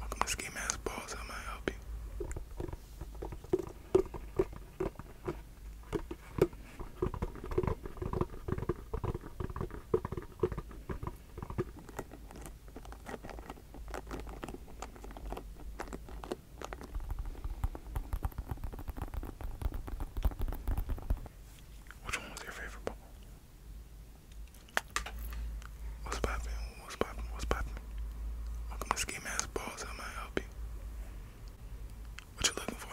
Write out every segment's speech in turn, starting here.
Welcome to Ski ass Balls. How may I help you? Which one was your favorite ball? What's poppin'? What's poppin'? What's poppin'? Welcome to Ski Mask Balls. How may I help you? What you looking for?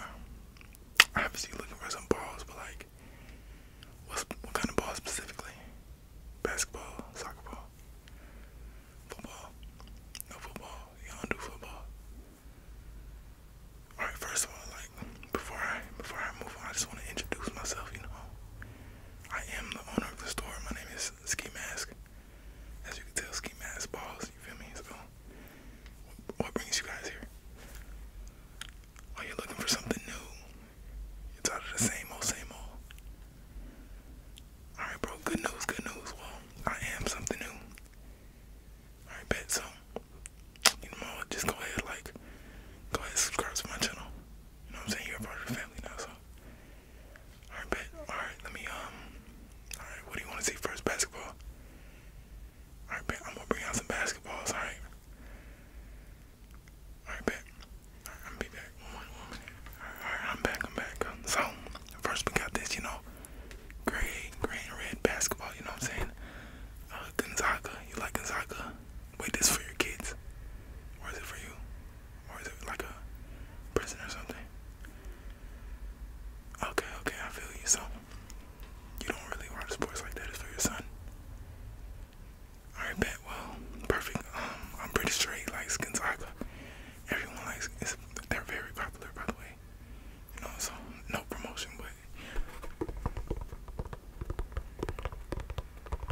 Obviously, looking for some balls, but like, what's, what kind of balls specifically? Basketball, soccer ball, football? No football. You don't do football. All right. First of all, like, before I before I move on, I just want to introduce myself. You know, I am the owner of the store. My name is Ski Mask. As you can tell, Ski Mask balls. You feel me? So, what brings you guys here? Are you looking for something new? You're of the same old, same old. All right, bro. Good news, good news. Well, I am something new. All right, bet so. You know, just go ahead, like, go ahead, subscribe to my channel. You know what I'm saying? You're a part of the family now, so. Alright, bet. Alright, let me, um. Alright, what do you want to see first? Basketball? Alright, bet. I'm gonna bring out some basketballs, alright? Alright, bet. I'm be back. Alright, I'm back, I'm back. So, first we got this, you know. Gray, gray and red basketball, you know what I'm saying? Uh, Gonzaga. You like Gonzaga? Wait, this for your kids, or is it for you, or is it like a prison or something? Okay, okay, I feel you. So you don't really watch sports like that. It's for your son. All right, bet. Well, perfect. Um, I'm pretty straight. Like likes Gonzaga. Everyone likes. It's, they're very popular, by the way. You know, so no promotion, but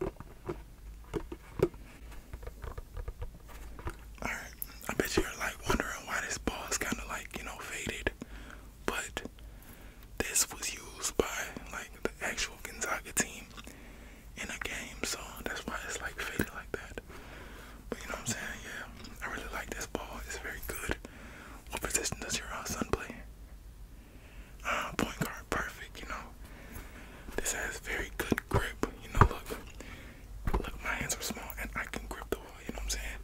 Alright, I bet you're like wondering why this ball is kind of like, you know, faded. But this was used by like the actual Gonzaga team in a game, so that's why it's like faded like that. But you know what I'm saying? Yeah, I really like this ball. It's very good. What position does your uh, son play? Ah, point guard, perfect. You know, this has very good grip. You know, look, look, my hands are small and I can grip the ball. You know what I'm saying?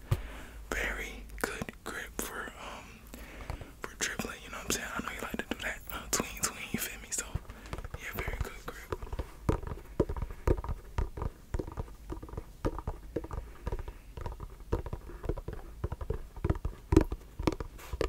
Very good grip for um for dribbling. You know what I'm saying? I know you like to do that. Uh, tween, tween. You feel me? So yeah, very good grip.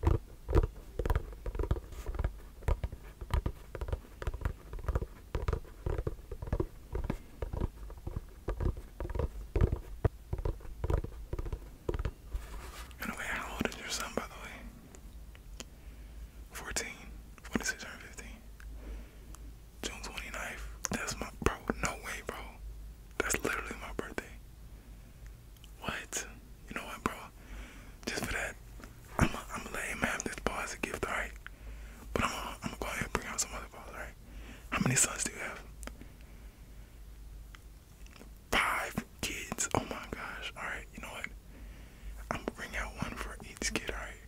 By how old is your son, by the way? 14. When does turn 15? June 29th. That's my bro. No way, bro. That's literally my birthday. What? You know what, bro? Just for that, I'm gonna let him have this ball as a gift, alright? But I'm gonna go ahead and bring out some other balls, alright? How many sons do you have? Five kids. Oh my gosh. Alright, you know what? I'm gonna bring out one for each kid, alright?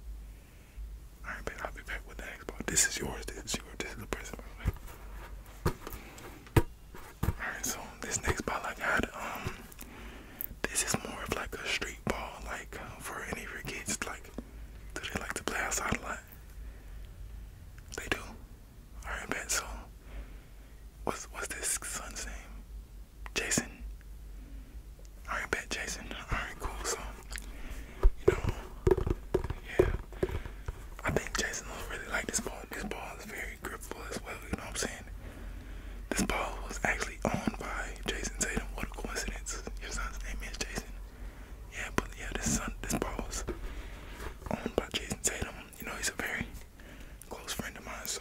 Alright, but I'll be back with the next ball. This is yours. This is yours. This is the present, by the way. Alright, so this next ball I got, um, this is more of like a street ball, like uh, for any of your kids. Like, do they like to play outside a lot? They do. Alright, bet. So, what's what's this son's name? Jason. Alright, bet Jason. Alright, cool. So, you know, yeah. I think Jason will really like this ball. This ball is very grippable as well. You know what I'm saying? This ball was actually owned by Jason Tatum. What a coincidence! Your son's name is Jason. Yeah, but yeah, this son, this ball was owned by Jason Tatum. You know, he's a very close friend of mine, so.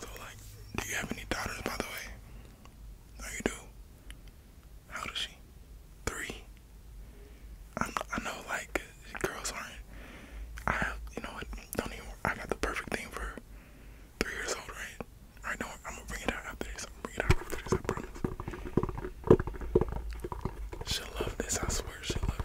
So like, do you have any daughters by the way? Oh, you do? How old is she? Three. I'm, I know, like girls aren't. I have, you know what? Don't even. I got the perfect thing for three years old, right? I right, know. I'm gonna bring it out after this. I'm gonna bring it out after this. I promise. She'll love this. I swear, she'll love it.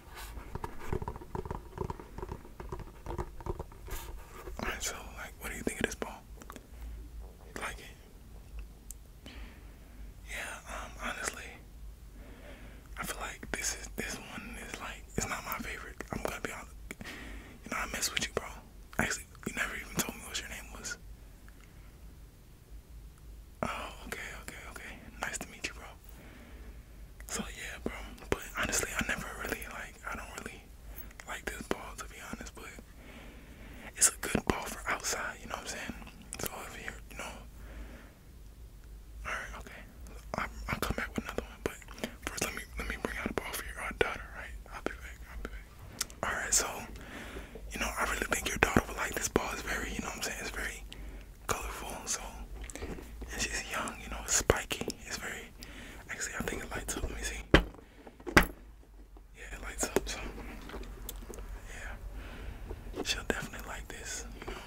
Alright, so like what do you think of this ball? You like it? Yeah, um honestly I feel like this is this one is like it's not my favorite. I'm gonna be honest. You know, I mess with you, bro. Actually, you never even told me what your name was. Oh, okay, okay, okay. Nice to meet you, bro. So yeah, bro. But honestly, I never really like. I don't really like this ball to be honest. But it's a good ball for outside. You know what I'm saying? So if you know. All right, okay. i I'll come back with another one. But first, let me let me bring out a ball for your daughter, right? I'll be back. I'll be back. All right, so you know, I really think your daughter would like this ball. It's very, you know, what I'm saying, it's very colorful. So, and she's young, you know, spiky. It's very, actually, I think it lights up. Let me see. Yeah, it lights up. So, yeah, she'll definitely like this, you know.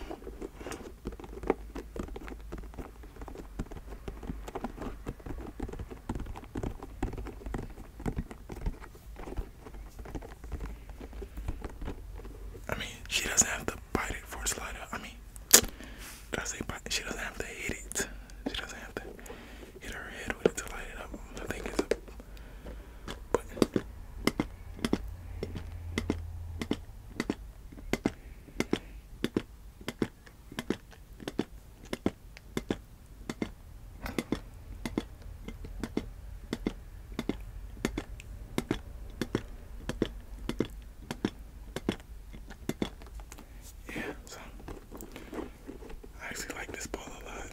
I mean, she doesn't have to bite it for slider. I mean, did I bite? She doesn't have to hit it. She doesn't have to hit her head with it to light it up. I think it's a button. Yeah, so I actually like this ball a lot.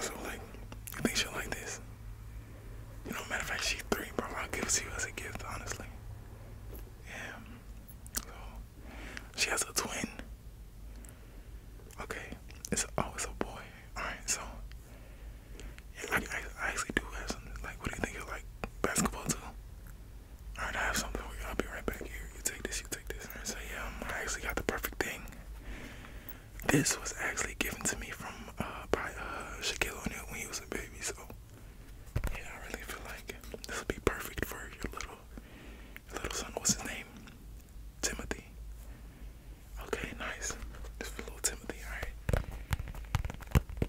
So like, you think she'll like this? You know, matter of fact, she's three, bro. i give it to you as a gift, honestly. Yeah. So, she has a twin. Okay. It's always oh, a boy. Alright, so I, I, I actually do have something. Like, what do you think you like basketball too? I have something for you. I'll be right back here. You take this. You take this. so yeah, um, I actually got the perfect thing. This was actually given to me from uh, by uh, Shaquille O'Neal when he was a baby. So yeah, I really feel like this would be perfect for your little little son. What's his name? Timothy. Okay, nice. Just for little Timothy. All right.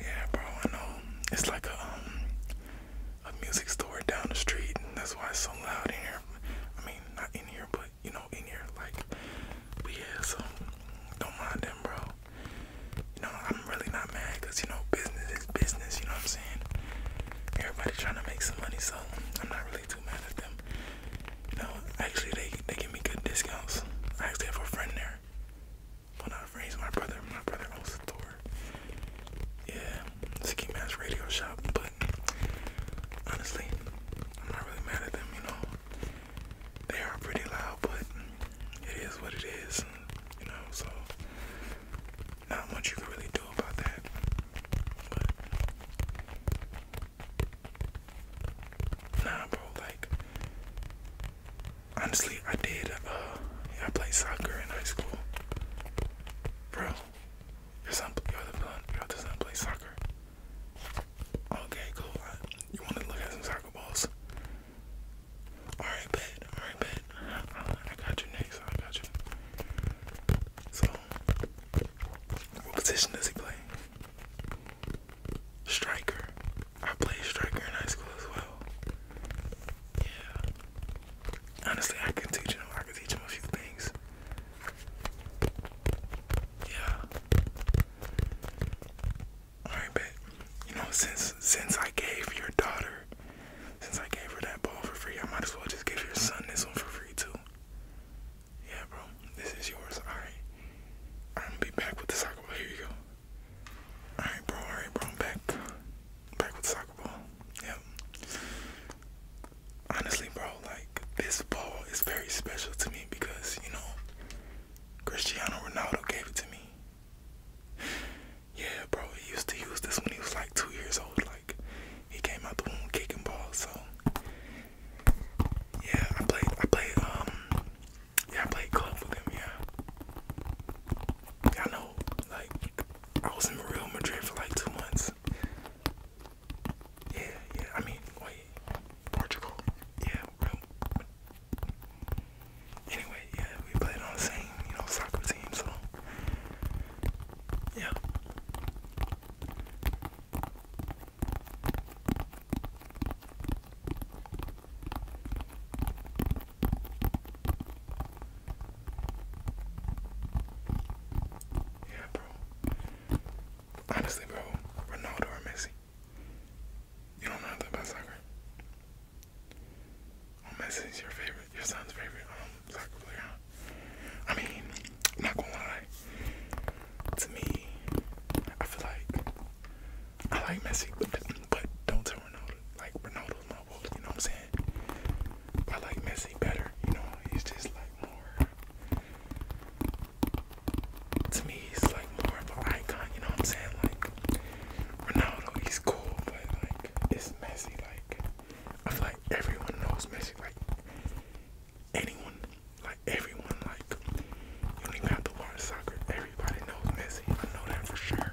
Yeah, bro, I know. It's like a um, a music store down the street, and that's why it's so loud in here. I mean, not in here, but you know, in here, like. But yeah, so don't mind them, bro. You know, I'm really not mad because you know business business, you know what I'm saying? Everybody trying to make some money, so I'm not really too mad at them. You actually, they they give me good discounts. I actually have a friend there. Well, not a friend, he's my brother. My brother owns the store. Yeah, Ski Mask Radio Shop. But honestly, I'm not really mad at them, you know. They are pretty loud, but it is what it is, you know, so not much you can really do about that. nah, bro, like honestly, I did. Uh, yeah, I played soccer in high school, bro. Your son, your other son, your other son plays soccer. Okay, cool. You want to look at some soccer balls? All right, bud. All right, bet. I got you next. I got you. So, what position does he play? Striker. I played striker in high school as well. Yeah. Honestly, I can teach him. I can teach him a few things. Yeah. All right, bet. You know, since since I gave your daughter since I gave her that ball for free, I might as well just give your son this one for free too. Yeah, bro, this is yours. All right, I'm gonna be back with the soccer ball. Here you go. All right, bro. All right, bro. I'm back, back with soccer ball. Yep. Honestly, bro, like this ball is very special to me because you know Cristiano Ronaldo gave it to me. Yeah, bro, he used to use this when he was like two years old. Like he came out the womb kicking balls. So yeah, I played. I played. Um, yeah, I played club with him. Yeah, yeah I know. Like I was in Real Madrid for like two months. Yeah, yeah. I mean, wait, Portugal. Yeah, real. Anyway, yeah, we played on the same, you know, soccer team. So yeah. Yeah, bro. Honestly, bro, Ronaldo or Messi. You don't know nothing about soccer. Oh, is your favorite, your son's favorite um, soccer player. Huh? I mean, not gonna lie. To me, I feel like I like Messi, but, don't tell Ronaldo. Like Ronaldo's not world, you know what I'm saying? I like Messi better. You know, he's just like more. To me, he's like more of an icon. You know what I'm saying? Like Ronaldo, he's cool, but like it's Messi. Like I feel like everyone knows Messi. Like anyone, like everyone, like you don't to watch soccer. Everybody knows Messi. I know that for sure.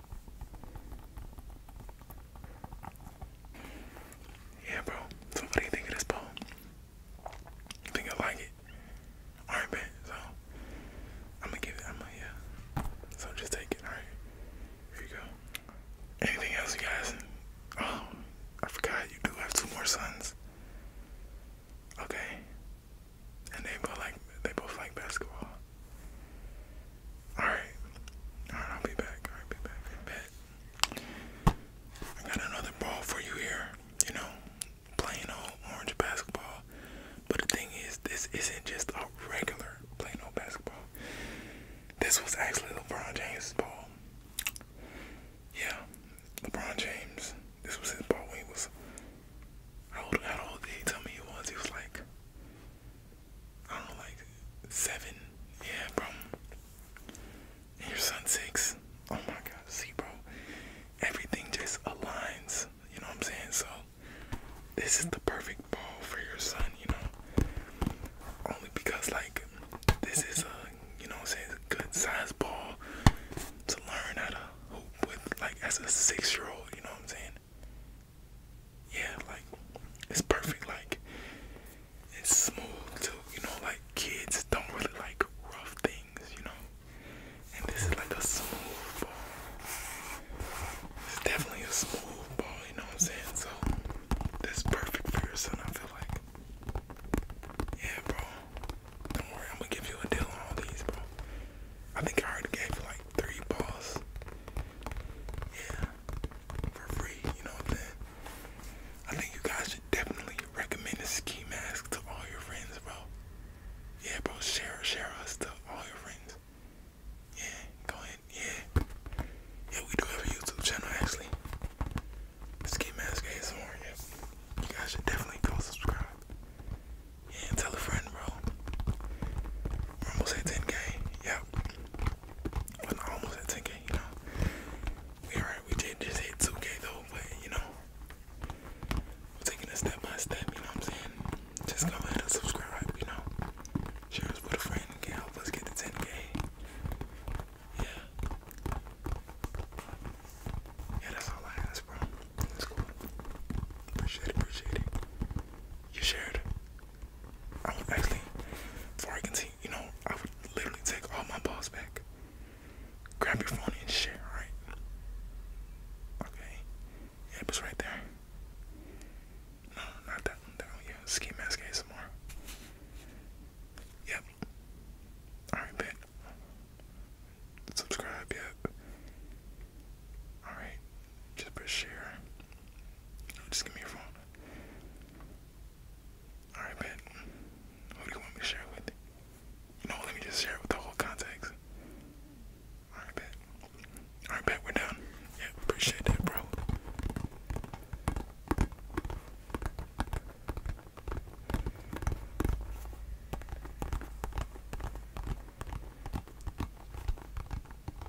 Yeah, bro. So what do you think of this poem? I think I like it? Alright, man. So I'm gonna give it. I'm gonna yeah. So just take it. Alright. Here you go. Anything else, you guys? Oh, I forgot. You do have two more sons. Okay. And they both like they both like basketball. Alright. Alright, I'll be back. Alright, be back. I bet. I got another ball for you here. You know, plain old orange basketball. But the thing is, this isn't just a regular plain old basketball. This was actually LeBron James' ball. Yeah, LeBron James. This was his ball he was. How old, how old he tell me he was? He was like I don't like seven. Yeah, bro. And your son six. Oh my God. See, bro. Everything just aligns. You know what I'm saying? So this is the perfect ball for your son. You know, only because like this is a you know what I'm saying a good size ball to learn how to hoop with like as a six year old. You know what I'm saying? yeah, like it's perfect. Like it's smooth too. You know, like kids don't really like rough things. You know, and this is like a smooth ball. It's definitely a smooth ball. You know what I'm saying? So this is perfect for your son. I feel like. Yeah, bro. Don't worry, I'm gonna give you a deal on all these, bro. I think I already gave you like three balls. Yeah. For free, you know what i think you guys should definitely recommend this ski mask to all your friends, bro. Yeah, bro, share share us to all your friends. Yeah, go ahead, yeah. Yeah, we do have a YouTube channel actually. Ski Mask ASMR, You guys should definitely go subscribe. Yeah, tell a friend, bro. almost at 10k. Yep. we not almost at 10k, you know. We alright, we did just hit 2k though, but you know. We're taking it step by step, you know what I'm saying? Just go ahead and subscribe, you know. Share with a friend, can help us get to 10k. Yeah. Yeah, that's all I ask, bro. That's cool. Appreciate it, appreciate it. You shared. I would actually, before I continue, you know, I would literally take all my balls back. Grab your phone and share, right? Okay. it was right there. No, not that one. That one, yeah. Ski mask ASMR. Yep. Alright, bet. Subscribe, yep. Alright. Just press share. Just give me your phone. Alright, bet. Who do you want me to share it with? You know, let me just share it with the whole context. Alright, bet. Alright, bet, we're done. Yeah, appreciate that, bro.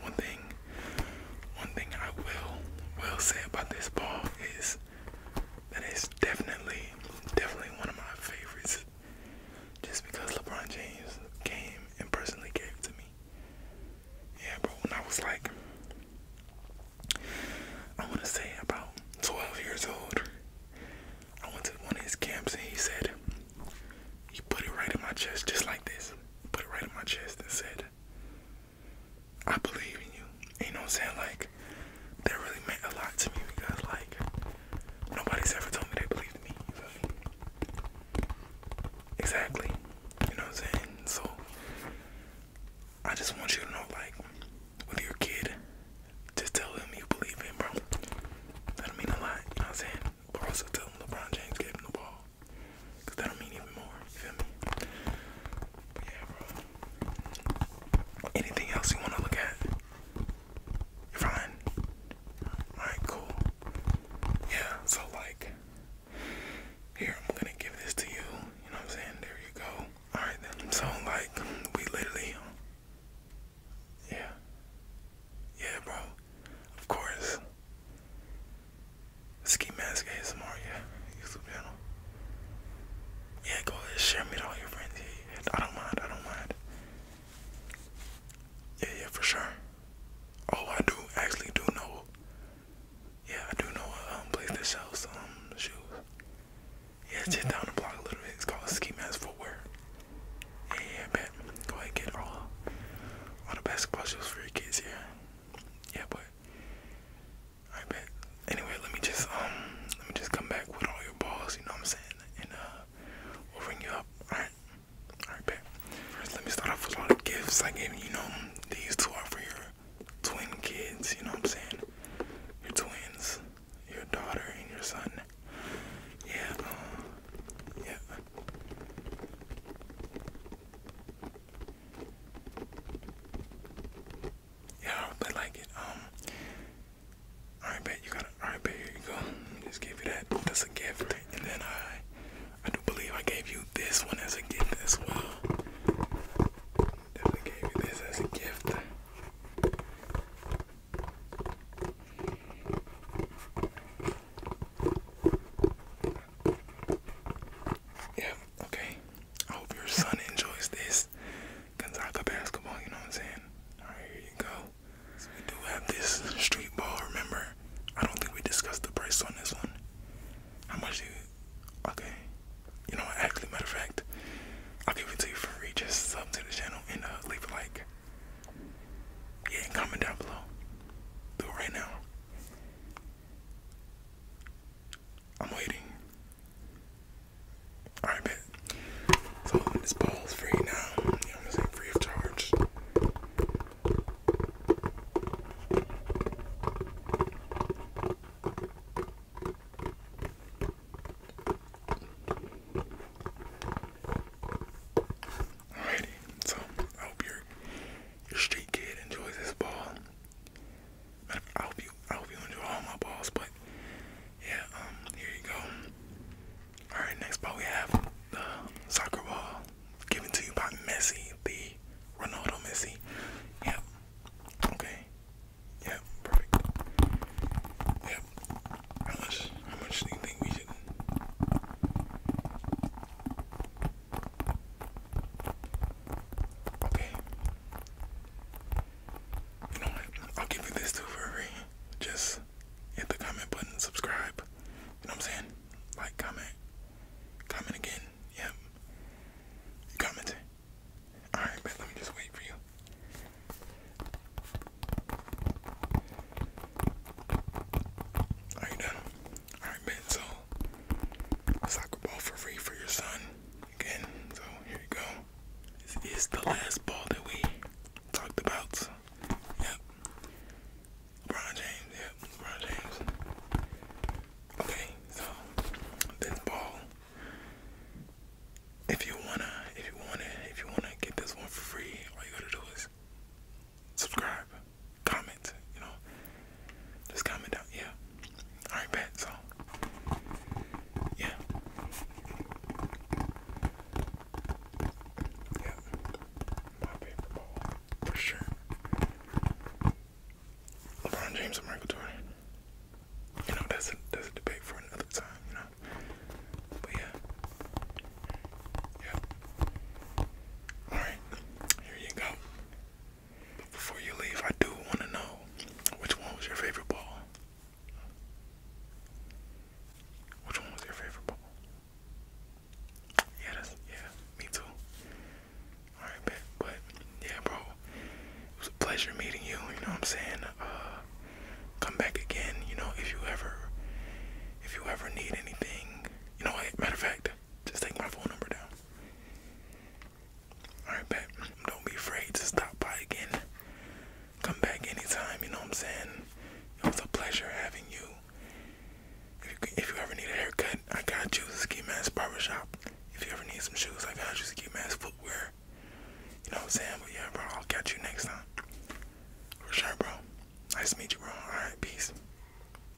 one thing, one thing I will will say about this ball is that it's definitely, definitely one of my favorites. Just because LeBron James came and personally gave it to me. Yeah, bro. When I was like, I want to say about 12 years old, I went to one of his camps and he said, he put it right in my chest, just like this. Put it right in my chest and said, I believe in you. you know what I'm saying? Like, that really meant a lot to me because, like, nobody's ever told me they believed in me. Exactly. You know what I'm saying? So, I just want you to know, like, with your kid, just tell him you believe in, bro. That'll mean a lot. You know what I'm saying? But also tell him LeBron James gave him the ball. Anything else you wanna look at? You're fine. Alright, cool. Yeah, so like here I'm gonna give this to you. You know what I'm saying? There you go. Alright then. So like we literally um, Yeah. Yeah, bro. Of course. Ski Mask ASMR, yeah. YouTube channel. Yeah, go ahead, share me to all your friends. Yeah, yeah. I don't mind, I don't mind. Yeah, yeah, for sure. Oh, I do actually do know. Yeah, I do know a um, place that sells um shoes. Yeah, it's just down the block a little bit. It's called Ski Mask Footwear. Yeah, yeah, bet. Go ahead and get all, all the basketball shoes for your kids, yeah yeah, but I bet. Anyway, let me just um, let me just come back with all your balls. You know what I'm saying? And uh, we'll ring you up. All right, all right, bet. First, let me start off with all the gifts I gave you. Know these two are for your twin kids. You know what I'm saying? Your twins, your daughter and your son. Yeah, um, yeah. Yeah, I don't like it. Um, alright, bet you got it. Alright, bet here you go. just give you that. That's a gift. And then I, I do believe I gave you this one as a gift as well. Definitely gave you this as a gift. Yeah, okay. I hope your son enjoys this Gonzaga basketball, you know what I'm saying? Alright, you go. we do have this street ball, remember? I don't think we discussed the price on this one. How much you okay. You know actually matter of fact, I'll give it to you for free. Just sub to the channel and uh, leave a like. Yeah, and comment down below. Do it right now. I'm waiting. Alright, bet. So this ball free now. You Free of charge. Alrighty, so I hope you're your street kid enjoys his ball. I hope you, I hope you enjoy all my balls, but yeah, um, here you go. All right, next ball we have the soccer ball given to you by Messi, the Ronaldo Messi. Yep. Okay. Yep. Perfect. Yep. How How much do you think we should? Okay. You know what? I'll give you this too for free. Just hit the comment button, subscribe. You know what I'm saying? Like, comment. Comment again. Yep. You Alright, but let me just wait for you. Are done? Alright, man. So soccer ball for free for your son again. So here you go. This is the last ball that we talked about. Yep. LeBron James. Yep. LeBron James. Okay. So this ball. If you wanna, if you wanna, if you wanna get this one for free, all you gotta do is subscribe comment, you know. Just comment down, yeah. Alright, bet, so. Yeah. Yeah. My for sure. LeBron James and Michael Jordan. You know, that's a, that's a debate for another time, you know. But yeah. Yeah. Alright, here you go. But before you leave, I do want to know which one was your favorite ball? Which one was your favorite ball? Yeah, that's, yeah, me too. Alright, bet. But, yeah, bro, it was a pleasure meeting you, you know what I'm saying? Uh, come back again, you know, if you ever, if you ever need anything. You know matter of fact, just take my phone number down. Alright, bet. Don't be afraid to stop by again. Come back anytime, you know what I'm saying? It was a pleasure having you. If you, ever need a haircut, I got you. Ski Mask Barbershop. If you ever need some shoes, I got you. Ski Mask Footwear. You know what I'm saying? But yeah, bro, I'll catch you next time. For sure, bro. Nice to meet you, bro. Alright, peace.